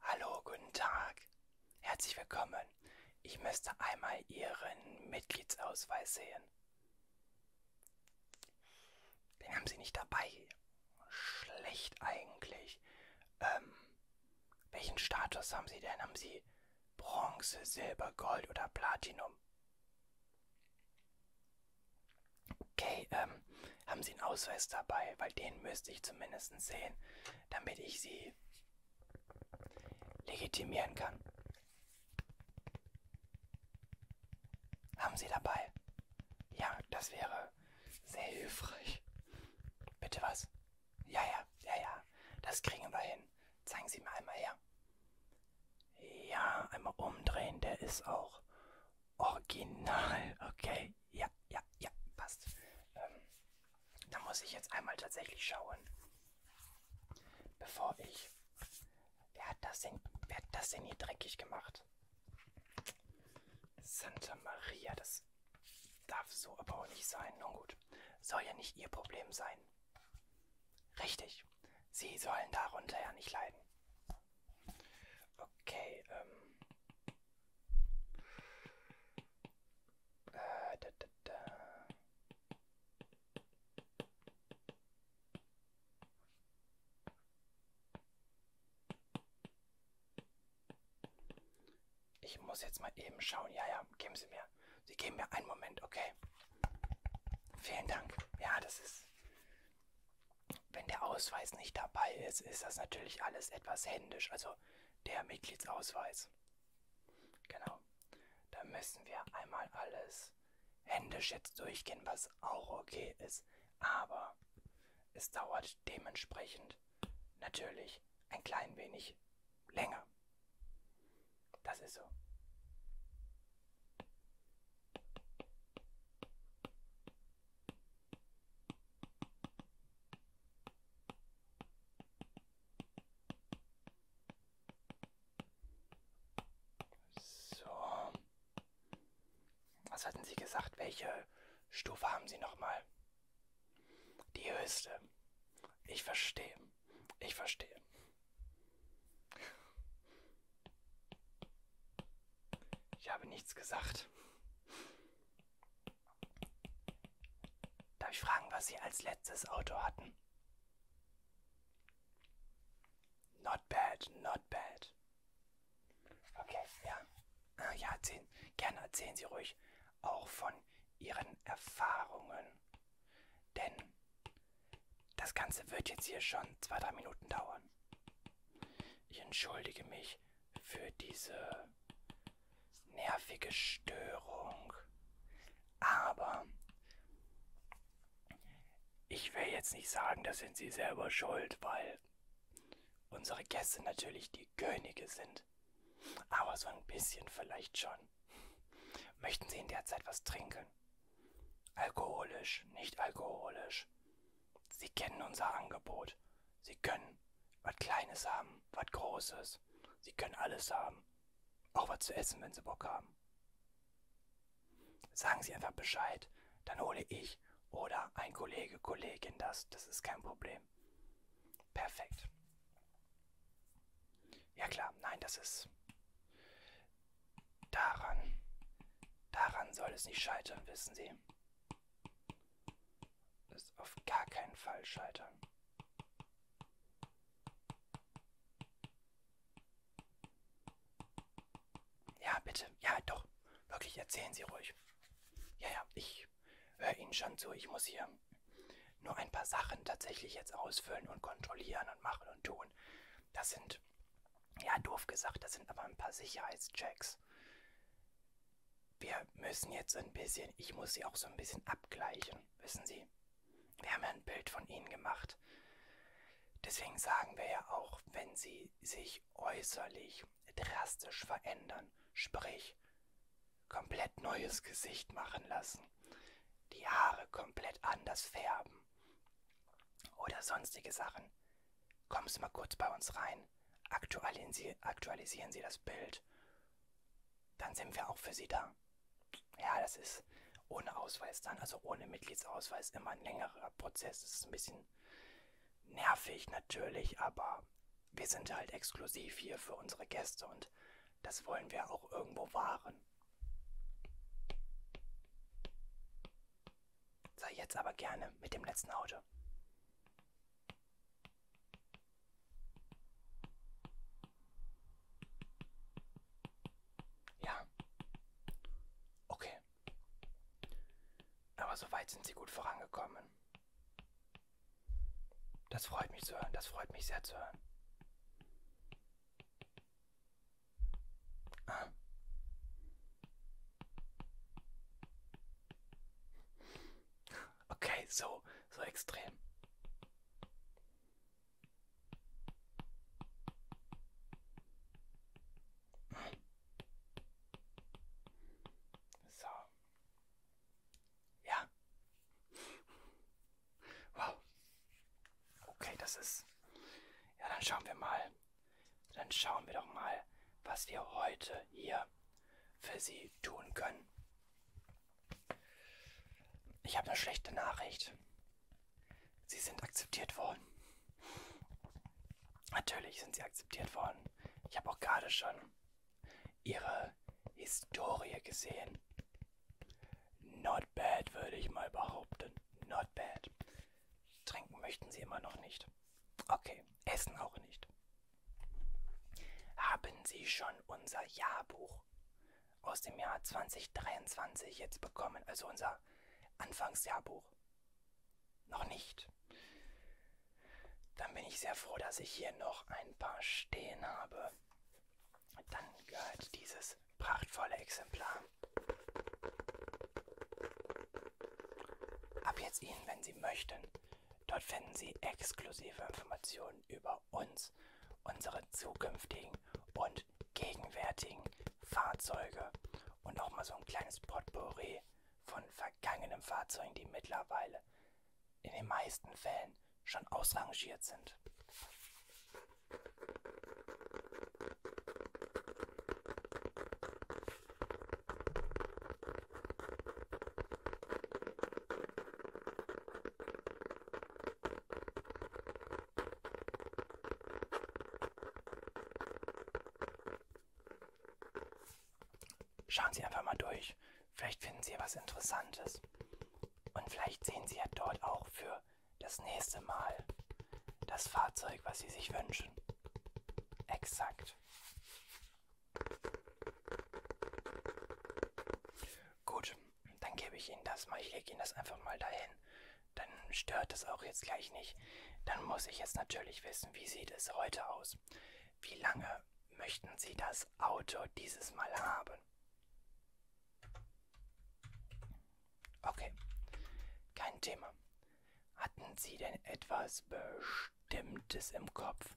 Hallo, guten Tag. Herzlich willkommen. Ich müsste einmal Ihren Mitgliedsausweis sehen. Den haben Sie nicht dabei. Schlecht eigentlich. Ähm, welchen Status haben Sie denn? Haben Sie Bronze, Silber, Gold oder Platinum? Okay, ähm, haben Sie einen Ausweis dabei, weil den müsste ich zumindest sehen, damit ich Sie legitimieren kann. Haben Sie dabei? Ja, das wäre sehr hilfreich. Bitte was? Ja, ja, ja, ja. Das kriegen wir hin. Zeigen Sie mir einmal her. Ja, einmal umdrehen. Der ist auch original. Okay, ja, ja, ja, passt. Ähm, da muss ich jetzt einmal tatsächlich schauen, bevor ich... Wer hat das denn, wer hat das denn hier dreckig gemacht? Santa Maria, das darf so aber auch nicht sein. Nun gut, soll ja nicht ihr Problem sein. Richtig, sie sollen darunter ja nicht leiden. Okay, ähm, Ah, da, da, da. Ich muss jetzt mal eben schauen. Ja, ja, geben Sie mir. Sie geben mir einen Moment, okay. Vielen Dank. Ja, das ist. Wenn der Ausweis nicht dabei ist, ist das natürlich alles etwas händisch. Also also der Mitgliedsausweis. Genau. Da müssen wir einmal alles händisch jetzt durchgehen, was auch okay ist. Aber es dauert dementsprechend natürlich ein klein wenig länger. Das ist so. So. Was hatten Sie gesagt? Welche Stufe haben Sie nochmal? Die höchste. Ich verstehe. Ich verstehe. Ich habe nichts gesagt. Darf ich fragen, was Sie als letztes Auto hatten? Not bad, not bad. Okay, ja. Ah, ja, erzählen, gerne erzählen Sie ruhig auch von Ihren Erfahrungen. Denn das Ganze wird jetzt hier schon zwei, drei Minuten dauern. Ich entschuldige mich für diese nervige Störung. Aber ich will jetzt nicht sagen, das sind sie selber schuld, weil unsere Gäste natürlich die Könige sind. Aber so ein bisschen vielleicht schon. Möchten Sie in der Zeit was trinken? Alkoholisch, nicht alkoholisch. Sie kennen unser Angebot. Sie können was Kleines haben, was Großes. Sie können alles haben. Auch was zu essen, wenn sie Bock haben. Sagen Sie einfach Bescheid, dann hole ich oder ein Kollege, Kollegin das. Das ist kein Problem. Perfekt. Ja klar, nein, das ist daran. Daran soll es nicht scheitern, wissen Sie es auf gar keinen Fall scheitern. Ja, bitte. Ja, doch. Wirklich, erzählen Sie ruhig. Ja, ja, ich höre Ihnen schon zu. Ich muss hier nur ein paar Sachen tatsächlich jetzt ausfüllen und kontrollieren und machen und tun. Das sind, ja, doof gesagt, das sind aber ein paar Sicherheitschecks wir müssen jetzt ein bisschen, ich muss sie auch so ein bisschen abgleichen, wissen Sie? Wir haben ja ein Bild von Ihnen gemacht. Deswegen sagen wir ja auch, wenn Sie sich äußerlich drastisch verändern, sprich komplett neues Gesicht machen lassen, die Haare komplett anders färben oder sonstige Sachen, Kommen Sie mal kurz bei uns rein, aktualisieren Sie, aktualisieren Sie das Bild. Dann sind wir auch für Sie da. Ja, das ist ohne Ausweis dann, also ohne Mitgliedsausweis, immer ein längerer Prozess. Das ist ein bisschen nervig natürlich, aber wir sind halt exklusiv hier für unsere Gäste und das wollen wir auch irgendwo wahren. So, jetzt aber gerne mit dem letzten Auto. Ja. Okay. Aber soweit sind sie gut vorangekommen. Das freut mich zu hören, das freut mich sehr zu hören. Ah. Okay, so, so extrem. So. Ja. Wow. Okay, das ist. Ja, dann schauen wir mal. Dann schauen wir doch mal, was wir heute hier für Sie tun können. Ich habe eine schlechte Nachricht. Sie sind akzeptiert worden. Natürlich sind Sie akzeptiert worden. Ich habe auch gerade schon Ihre Historie gesehen. Not bad, würde ich mal behaupten. Not bad. Trinken möchten Sie immer noch nicht. Okay, Essen auch nicht. Haben Sie schon unser Jahrbuch aus dem Jahr 2023 jetzt bekommen? Also unser Anfangsjahrbuch. Noch nicht. Dann bin ich sehr froh, dass ich hier noch ein paar stehen habe. Dann gehört dieses prachtvolle Exemplar Ab jetzt Ihnen, wenn Sie möchten. Dort finden Sie exklusive Informationen über uns, unsere zukünftigen und gegenwärtigen Fahrzeuge und auch mal so ein kleines Potpourri von vergangenen Fahrzeugen, die mittlerweile in den meisten Fällen schon ausrangiert sind. Schauen Sie einfach mal durch. Vielleicht finden Sie was Interessantes. Und vielleicht sehen Sie ja dort auch für das nächste Mal das Fahrzeug, was Sie sich wünschen. Exakt. Gut, dann gebe ich Ihnen das mal. Ich lege Ihnen das einfach mal dahin. Dann stört es auch jetzt gleich nicht. Dann muss ich jetzt natürlich wissen, wie sieht es heute aus? Wie lange möchten Sie das Auto dieses Mal haben? Okay, kein Thema. Hatten Sie denn etwas Bestimmtes im Kopf?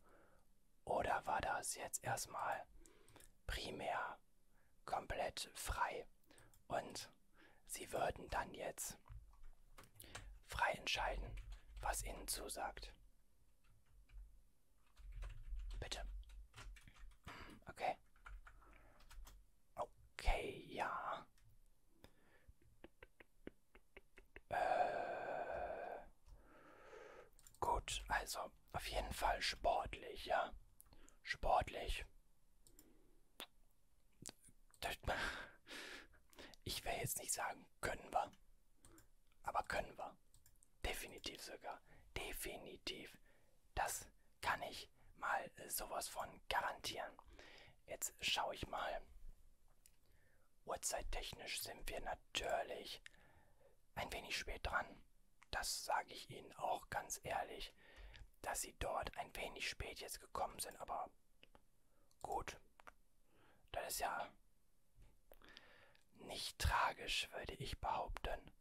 Oder war das jetzt erstmal primär komplett frei? Und Sie würden dann jetzt frei entscheiden, was Ihnen zusagt. Bitte. Okay. Okay, ja. Äh, gut, also auf jeden Fall sportlich, ja. Sportlich. Ich will jetzt nicht sagen, können wir. Aber können wir. Definitiv sogar. Definitiv. Das kann ich mal sowas von garantieren. Jetzt schaue ich mal. Uhrzeittechnisch sind wir natürlich ein wenig spät dran. Das sage ich Ihnen auch ganz ehrlich, dass Sie dort ein wenig spät jetzt gekommen sind. Aber gut, das ist ja nicht tragisch, würde ich behaupten.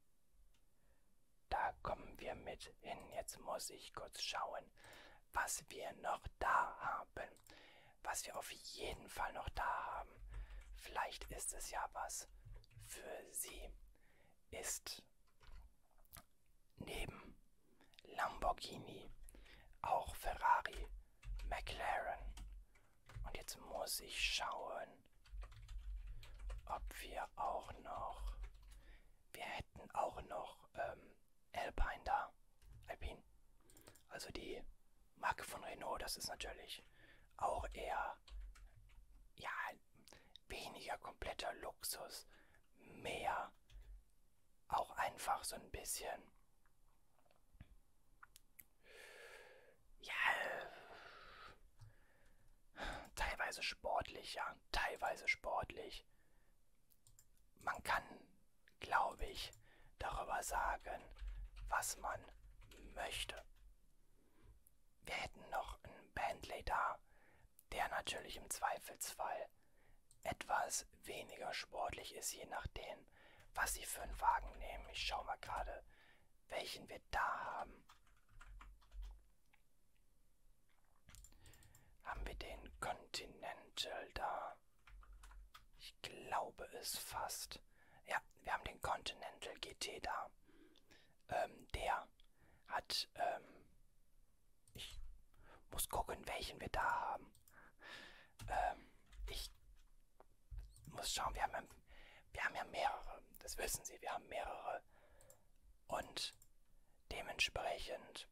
Da kommen wir mit hin. Jetzt muss ich kurz schauen was wir noch da haben. Was wir auf jeden Fall noch da haben. Vielleicht ist es ja was für Sie. Ist neben Lamborghini auch Ferrari, McLaren. Und jetzt muss ich schauen, ob wir auch noch. Wir hätten auch noch ähm, Alpine da. Alpine. Also die Marke von Renault, das ist natürlich auch eher, ja, weniger kompletter Luxus, mehr auch einfach so ein bisschen, ja, teilweise sportlich, ja, teilweise sportlich, man kann, glaube ich, darüber sagen, was man möchte. Wir hätten noch einen Bentley da, der natürlich im Zweifelsfall etwas weniger sportlich ist, je nachdem, was sie für einen Wagen nehmen. Ich schaue mal gerade, welchen wir da haben. Haben wir den Continental da? Ich glaube es fast. Ja, wir haben den Continental GT da. Ähm, der hat, ähm, ich muss gucken, welchen wir da haben. Ähm, ich muss schauen, wir haben, ja, wir haben ja mehrere, das wissen Sie, wir haben mehrere. Und dementsprechend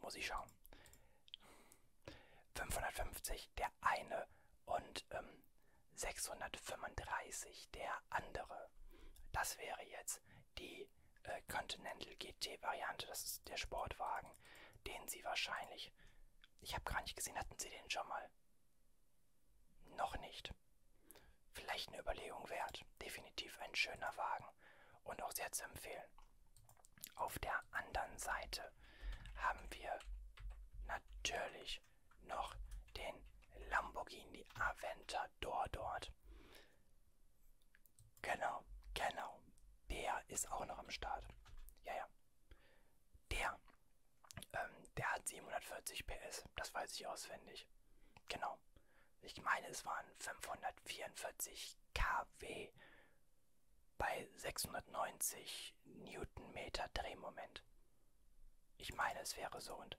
muss ich schauen. 550 der eine und ähm, 635 der andere. Das wäre jetzt die äh, Continental GT-Variante. Das ist der Sportwagen, den sie wahrscheinlich. Ich habe gar nicht gesehen, hatten sie den schon mal? Noch nicht. Vielleicht eine Überlegung wert. Definitiv ein schöner Wagen und auch sehr zu empfehlen. Auf der anderen Seite haben wir natürlich noch den Lamborghini Aventador dort. Genau, genau. Der ist auch noch am Start. Ja, ja. Der, ähm, der hat 740 PS. Das weiß ich auswendig. Genau ich meine, es waren 544 kW bei 690 Newtonmeter Drehmoment. Ich meine, es wäre so und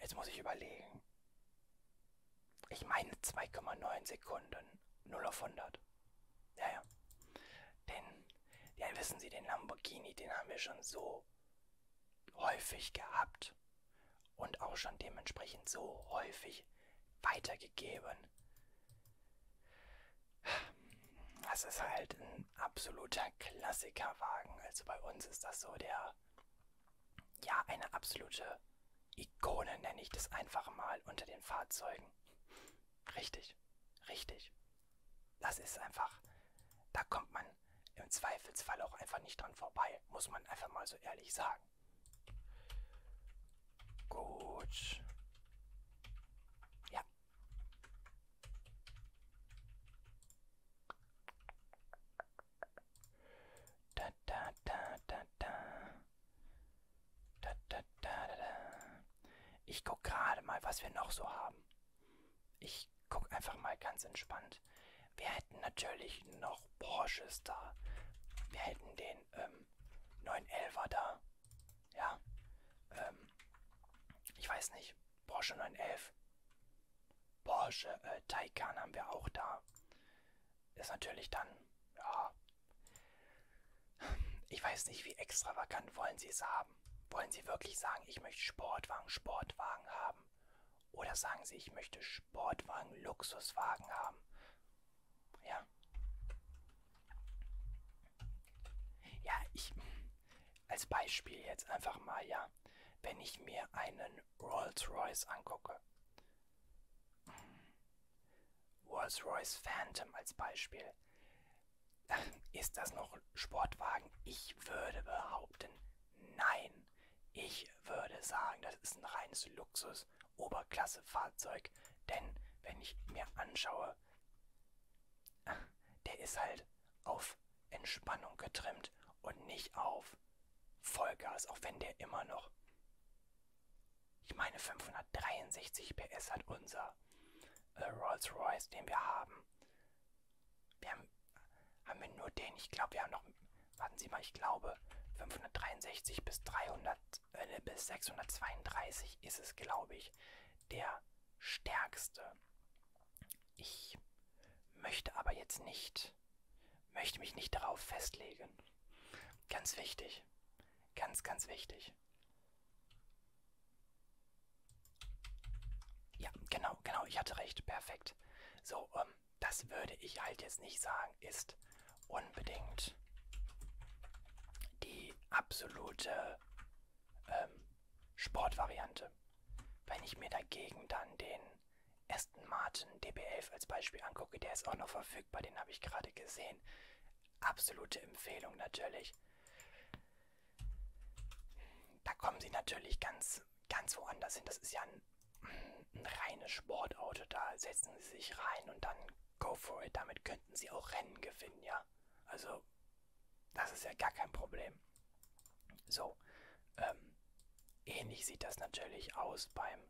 jetzt muss ich überlegen. Ich meine 2,9 Sekunden 0 auf 100. Ja, ja. Denn, ja, wissen Sie, den Lamborghini, den haben wir schon so häufig gehabt und auch schon dementsprechend so häufig weitergegeben. Das ist halt ein absoluter Klassikerwagen. Also bei uns ist das so der, ja, eine absolute Ikone, nenne ich das einfach mal, unter den Fahrzeugen. Richtig, richtig. Das ist einfach, da kommt man im Zweifelsfall auch einfach nicht dran vorbei, muss man einfach mal so ehrlich sagen. Gut. Ja. Da da da da da. Da da da da da. Ich guck gerade mal, was wir noch so haben. Ich guck einfach mal ganz entspannt hat. Wir hätten natürlich noch Porsches da. Wir hätten den ähm, 911er da. Ja. Ähm, ich weiß nicht. Porsche 911. Porsche äh, Taycan haben wir auch da. Ist natürlich dann, ja. Ich weiß nicht, wie extravagant wollen sie es haben. Wollen sie wirklich sagen, ich möchte Sportwagen, Sportwagen haben? Oder sagen sie, ich möchte Sportwagen, Luxuswagen haben. Ja. Ja, ich. Als Beispiel jetzt einfach mal, ja. Wenn ich mir einen Rolls-Royce angucke. Rolls-Royce Phantom als Beispiel. Ist das noch Sportwagen? Ich würde behaupten, nein können. Ich würde sagen, das ist ein reines Luxus-Oberklasse-Fahrzeug, denn wenn ich mir anschaue, der ist halt auf Entspannung getrimmt und nicht auf Vollgas, auch wenn der immer noch, ich meine 563 PS hat unser äh, Rolls-Royce, den wir haben. Wir haben haben wir nur den? Ich glaube, wir haben noch. Warten Sie mal, ich glaube 563 bis 300 äh, bis 632 ist es, glaube ich, der stärkste. Ich möchte aber jetzt nicht, möchte mich nicht darauf festlegen. Ganz wichtig, ganz, ganz wichtig. Ja, genau, genau, ich hatte recht, perfekt. So, ähm, das würde ich halt jetzt nicht sagen, ist unbedingt die absolute ähm, Sportvariante. Wenn ich mir dagegen dann den Aston Martin DB11 als Beispiel angucke, der ist auch noch verfügbar, den habe ich gerade gesehen. Absolute Empfehlung natürlich. Da kommen sie natürlich ganz ganz woanders hin. Das ist ja ein, ein reines Sportauto. Da setzen sie sich rein und dann go for it. Damit könnten sie auch Rennen gewinnen, ja. Also, das ist ja gar kein Problem. So, ähm, ähnlich sieht das natürlich aus beim,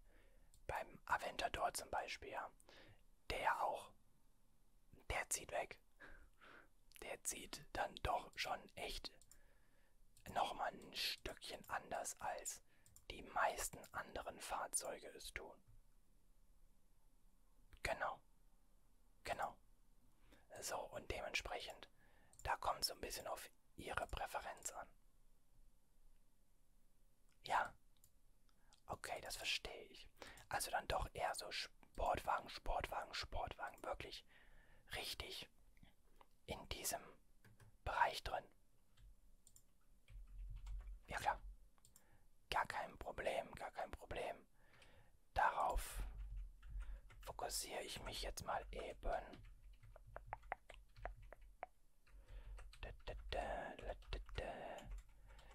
beim Aventador zum Beispiel, ja. Der auch, der zieht weg. Der zieht dann doch schon echt nochmal ein Stückchen anders als die meisten anderen Fahrzeuge es tun. Genau. Genau. So, und dementsprechend, da kommt so ein bisschen auf Ihre Präferenz an. Ja. Okay, das verstehe ich. Also dann doch eher so Sportwagen, Sportwagen, Sportwagen. Wirklich richtig in diesem Bereich drin. Ja klar, gar kein Problem, gar kein Problem. Darauf fokussiere ich mich jetzt mal eben.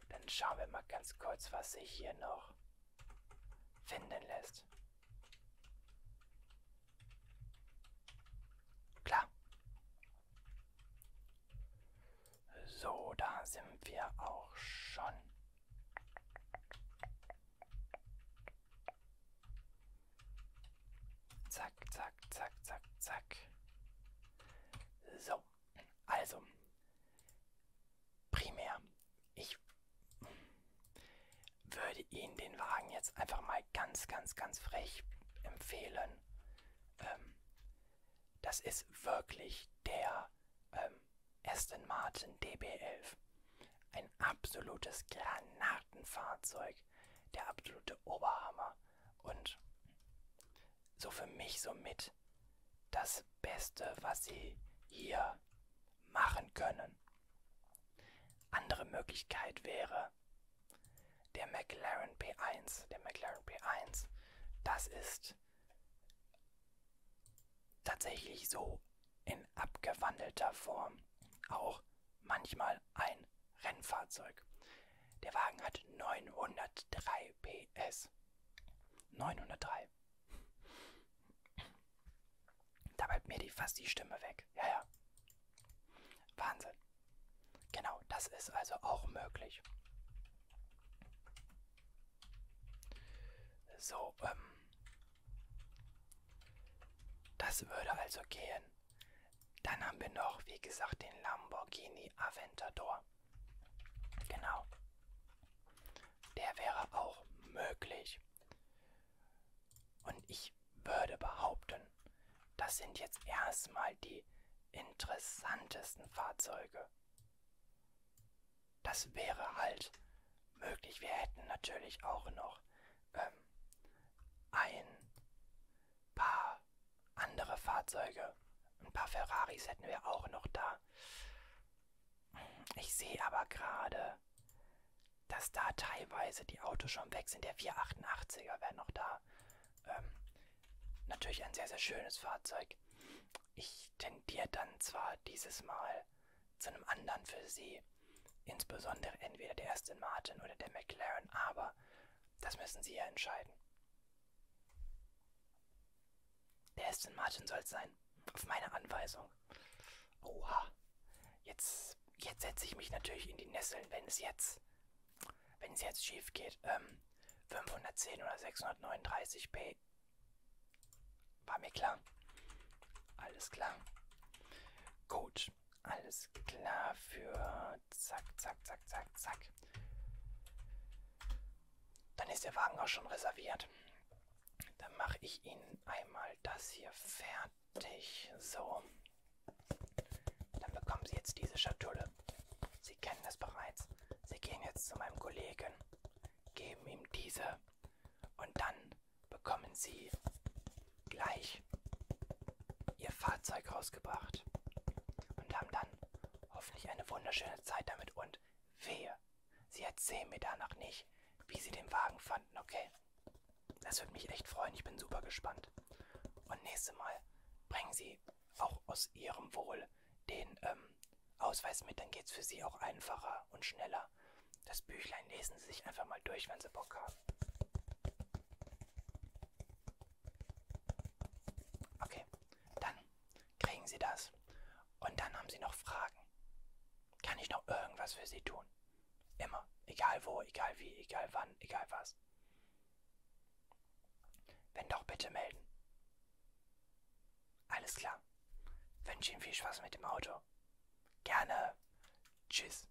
Dann schauen wir mal ganz kurz, was sich hier noch finden lässt. Klar. So, da sind wir auch schon. Zack, zack, zack, zack, zack. So, also primär. Ich würde Ihnen den Wagen jetzt einfach mal ganz, ganz, ganz frech empfehlen. Ähm, das ist wirklich der ähm, Aston Martin DB11. Ein absolutes Granatenfahrzeug. Der absolute Oberhammer. Und so für mich somit das Beste, was Sie hier machen können. Andere Möglichkeit wäre der McLaren P1. Der McLaren P1, das ist tatsächlich so in abgewandelter Form auch manchmal ein Rennfahrzeug. Der Wagen hat 903 PS. 903. Da bleibt mir die, fast die Stimme weg. Ja, ja. Wahnsinn. Genau, das ist also auch möglich. So, ähm. Das würde also gehen. Dann haben wir noch, wie gesagt, den Lamborghini Aventador. Genau. Der wäre auch möglich. Und ich würde behaupten, das sind jetzt erstmal die interessantesten Fahrzeuge. Das wäre halt möglich. Wir hätten natürlich auch noch ähm, ein paar andere Fahrzeuge. Ein paar Ferraris hätten wir auch noch da. Ich sehe aber gerade dass da teilweise die Autos schon weg sind. Der 488er wäre noch da. Ähm, natürlich ein sehr, sehr schönes Fahrzeug. Ich tendiere dann zwar dieses Mal zu einem anderen für sie, insbesondere entweder der Aston Martin oder der McLaren, aber das müssen sie ja entscheiden. Der Aston Martin soll es sein, auf meine Anweisung. Oha. Jetzt, jetzt setze ich mich natürlich in die Nesseln, wenn es jetzt, wenn es jetzt schief geht. Ähm, 510 oder 639p. War mir klar. Alles klar. Gut. Alles klar für zack, zack, zack, zack, zack. Dann ist der Wagen auch schon reserviert. Dann mache ich Ihnen einmal das hier fertig fertig. So. Dann bekommen Sie jetzt diese Schatulle. Sie kennen es bereits. Sie gehen jetzt zu meinem Kollegen, geben ihm diese und dann bekommen Sie gleich Ihr Fahrzeug rausgebracht und haben dann hoffentlich eine wunderschöne Zeit damit und wehe, Sie erzählen mir danach nicht, wie Sie den Wagen fanden, okay? Das würde mich echt freuen. Ich bin super gespannt. Und nächstes Mal bringen Sie auch aus Ihrem Wohl den ähm, Ausweis mit. Dann geht es für Sie auch einfacher und schneller. Das Büchlein lesen Sie sich einfach mal durch, wenn Sie Bock haben. Okay, dann kriegen Sie das. Und dann haben Sie noch Fragen. Kann ich noch irgendwas für Sie tun? Immer. Egal wo, egal wie, egal wann, egal was. Wenn doch, bitte melden. Alles klar. Wünsche Ihnen viel Spaß mit dem Auto. Gerne. Tschüss.